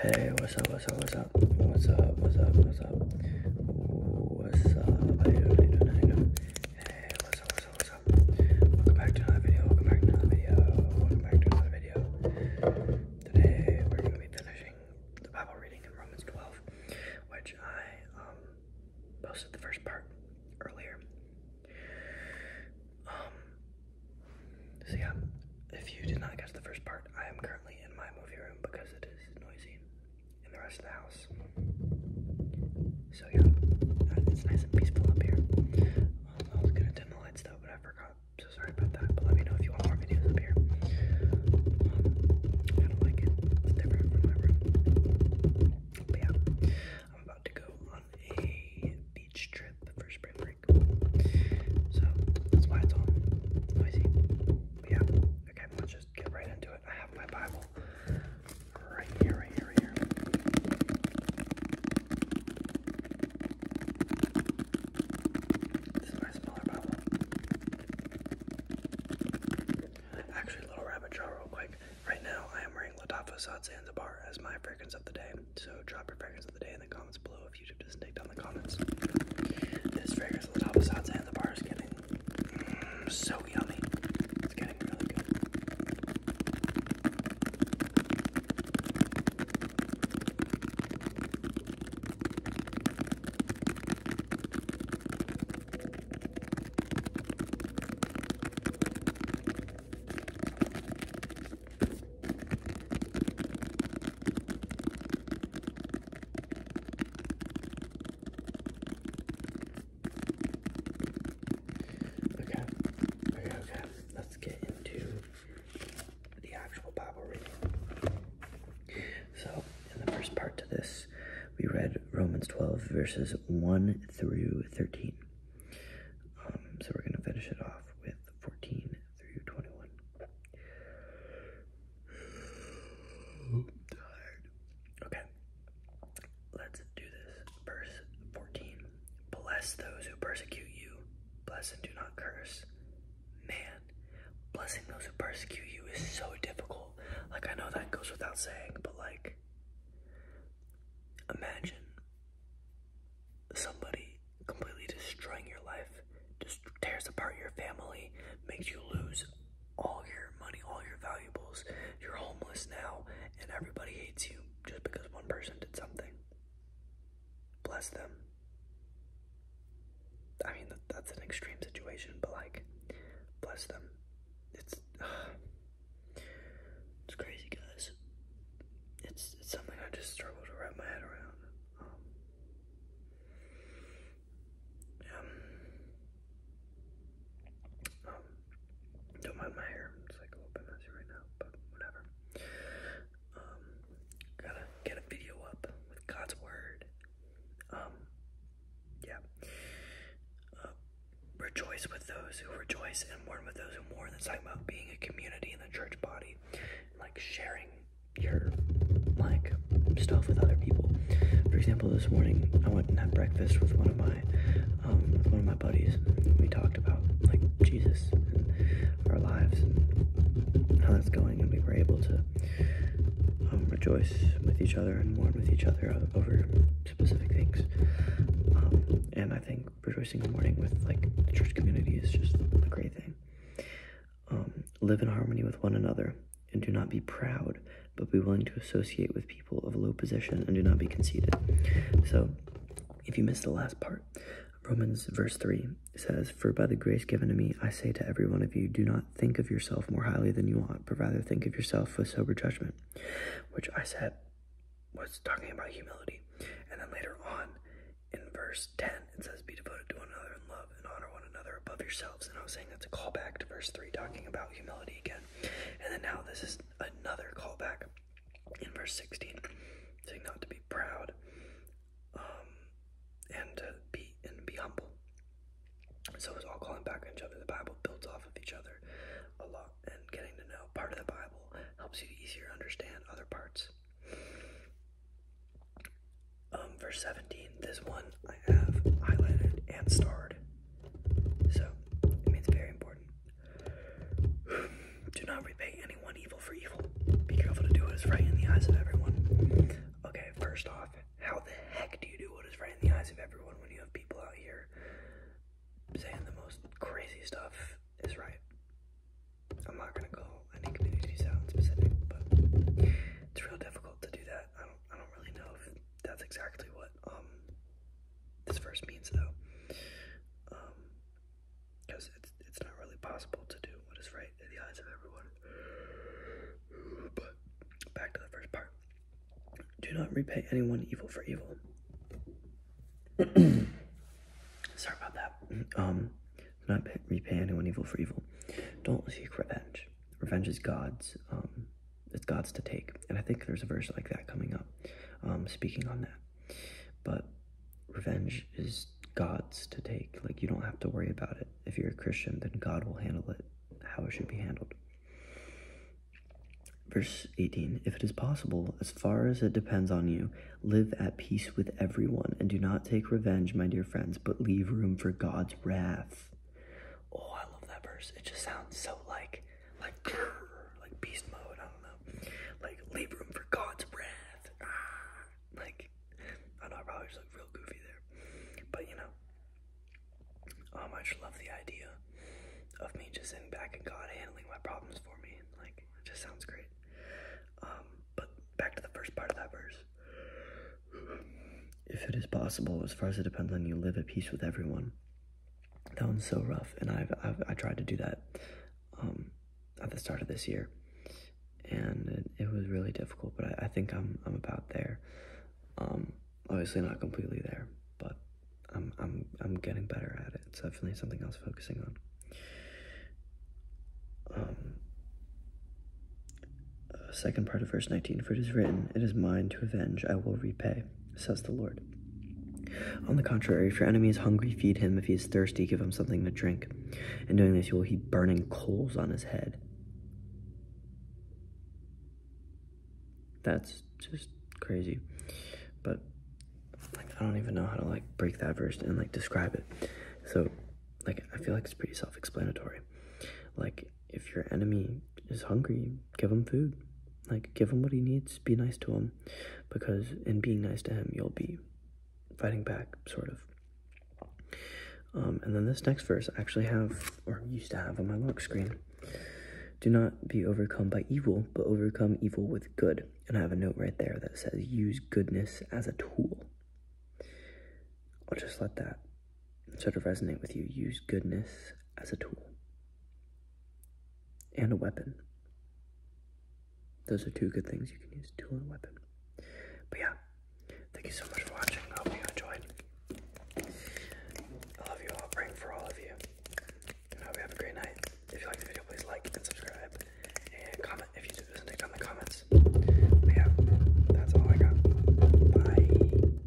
Hey, what's up, what's up, what's up, what's up, what's up, what's up, what's up, how you doing, how you doing, how you doing, hey, what's up, what's up, what's up, welcome back to another video, welcome back to another video, welcome back to another video, today we're going to be finishing the Bible reading in Romans 12, which I, um, posted the first part earlier, um, so yeah, if you did not catch the first part, I am currently in my movie room because it is noisy in the rest of the house. So yeah, it's nice and peaceful up here. Um, I was gonna dim the lights though, but I forgot. So sorry about that. But let me know if you want more videos up here. Um, I don't like it. different from my room. But yeah, I'm about to go uh, on a beach trip for spring break. So that's why it's all noisy. But yeah, okay, let's just get right into it. I have my Bible right here, right here, here. This is my smaller Bible. Actually, little rabbit trail real quick. Right now, I am wearing Latafa Sad Zanzibar as my fragrance of the day, so drop your fragrance of the day in the comments below if YouTube doesn't take down the comments. This fragrance, Latafa Sad Zanzibar, is getting mm, so yummy. It's getting really good. Okay, okay, okay. Let's get into the actual Bible reading. So, in the first part to this, we read Romans 12, verses 1 through 13. Um, so we're going to finish it off with 14 through 21. Okay, let's do this. Verse 14. Bless those who persecute you, bless and do not curse. Man, blessing those who persecute you is so difficult. Like, I know that goes without saying, but like, Imagine somebody completely destroying your life, just tears apart your family, makes you lose all your money, all your valuables. You're homeless now, and everybody hates you just because one person did something. Bless them. I mean, that's an extreme situation, but like, bless them it's it's crazy, guys. It's it's something I just struggle to wrap my head around. Um, um, don't mind my hair. It's like a little bit messy right now, but whatever. Um, gotta get a video up with God's word. Um, yeah. Uh, rejoice with those who rejoice and mourn with those who mourn. That's talking about being a community in the church body, like sharing your like stuff with other people. For example, this morning I went and had breakfast with one of my um, with one of my buddies. We talked about like Jesus and our lives and how that's going, and we were able to um, rejoice with each other and mourn with each other over specific things. Um, and I think rejoicing and mourning with like the church community is just a great thing. Um, live in harmony with one another and do not be proud, but be willing to associate with people of low position and do not be conceited. So, if you missed the last part, Romans verse 3 says, For by the grace given to me, I say to every one of you, do not think of yourself more highly than you ought, but rather think of yourself with sober judgment, which I said was talking about humility. And then later on in verse 10, it says, Be devoted to one another in love and honor one another above yourselves. And I was saying that's a callback to verse 3, talking about humility again. And then now this is another callback in verse 16, saying not to be proud um, and uh, be and be humble. So it's all calling back on each other. The Bible builds off of each other a lot, and getting to know part of the Bible helps you easier understand other parts. Um, verse 17, this one I have highlighted and starred. So, I mean, very important. Do not repay any anyone evil for evil. Be careful to do what is right in the eyes of everyone. Okay, first off, how the heck do you do what is right in the eyes of everyone when you have people out here saying the most crazy stuff is right? I'm not gonna go any community out specific, but it's real difficult to do that. I don't, I don't really know if that's exactly what um, this verse means though. Um, because it's, it's not really possible to do what is right in the eyes of everyone. But back to the first part do not repay anyone evil for evil. Sorry about that. Um, do not repay anyone evil for evil. Don't seek revenge. Revenge is God's. Um, it's God's to take. And I think there's a verse like that coming up, um, speaking on that. But revenge is God's to take. Like, you don't have to worry about it. If you're a Christian, then God will handle it how it should be handled. Verse 18 If it is possible, as far as it depends on you, live at peace with everyone, and do not take revenge, my dear friends, but leave room for God's wrath. Oh, I love that verse. It just sounds so like, like, like beast mode. I don't know. Like, leave room for God's wrath. Ah, like, I know I probably look real goofy there. But, you know, I just love the idea of me just sitting back and God handling my problems for me. Like, just sounds great. Um, but back to the first part of that verse. If it is possible, as far as it depends on you, live at peace with everyone. That one's so rough, and I've, i tried to do that um, at the start of this year, and it, was really difficult. But I, think I'm I'm about there. Um, obviously not completely there, but I'm I'm I'm getting better at it. It's definitely something else was focusing on. Um, uh, second part of verse 19 for it is written it is mine to avenge i will repay says the Lord. On the contrary, if your enemy is hungry, feed him. If he is thirsty, give him something to drink. In doing this, you will heap burning coals on his head. That's just crazy. But like, I don't even know how to like break that verse and like describe it. So, like, I feel like it's pretty self-explanatory. Like, if your enemy is hungry, give him food. Like, give him what he needs, be nice to him, because in being nice to him, you'll be fighting back, sort of. Um, and then this next verse I actually have, or used to have on my lock screen. Do not be overcome by evil, but overcome evil with good. And I have a note right there that says, use goodness as a tool. I'll just let that sort of resonate with you. Use goodness as a tool and a weapon. Those are two good things you can use, tool and weapon. But yeah, thank you so much for watching. I hope you enjoyed. I love you all, praying for all of you. I hope you have a great night. If you like the video, please like and subscribe. And comment if you did listen to down the comments. But yeah, that's all I got. Bye.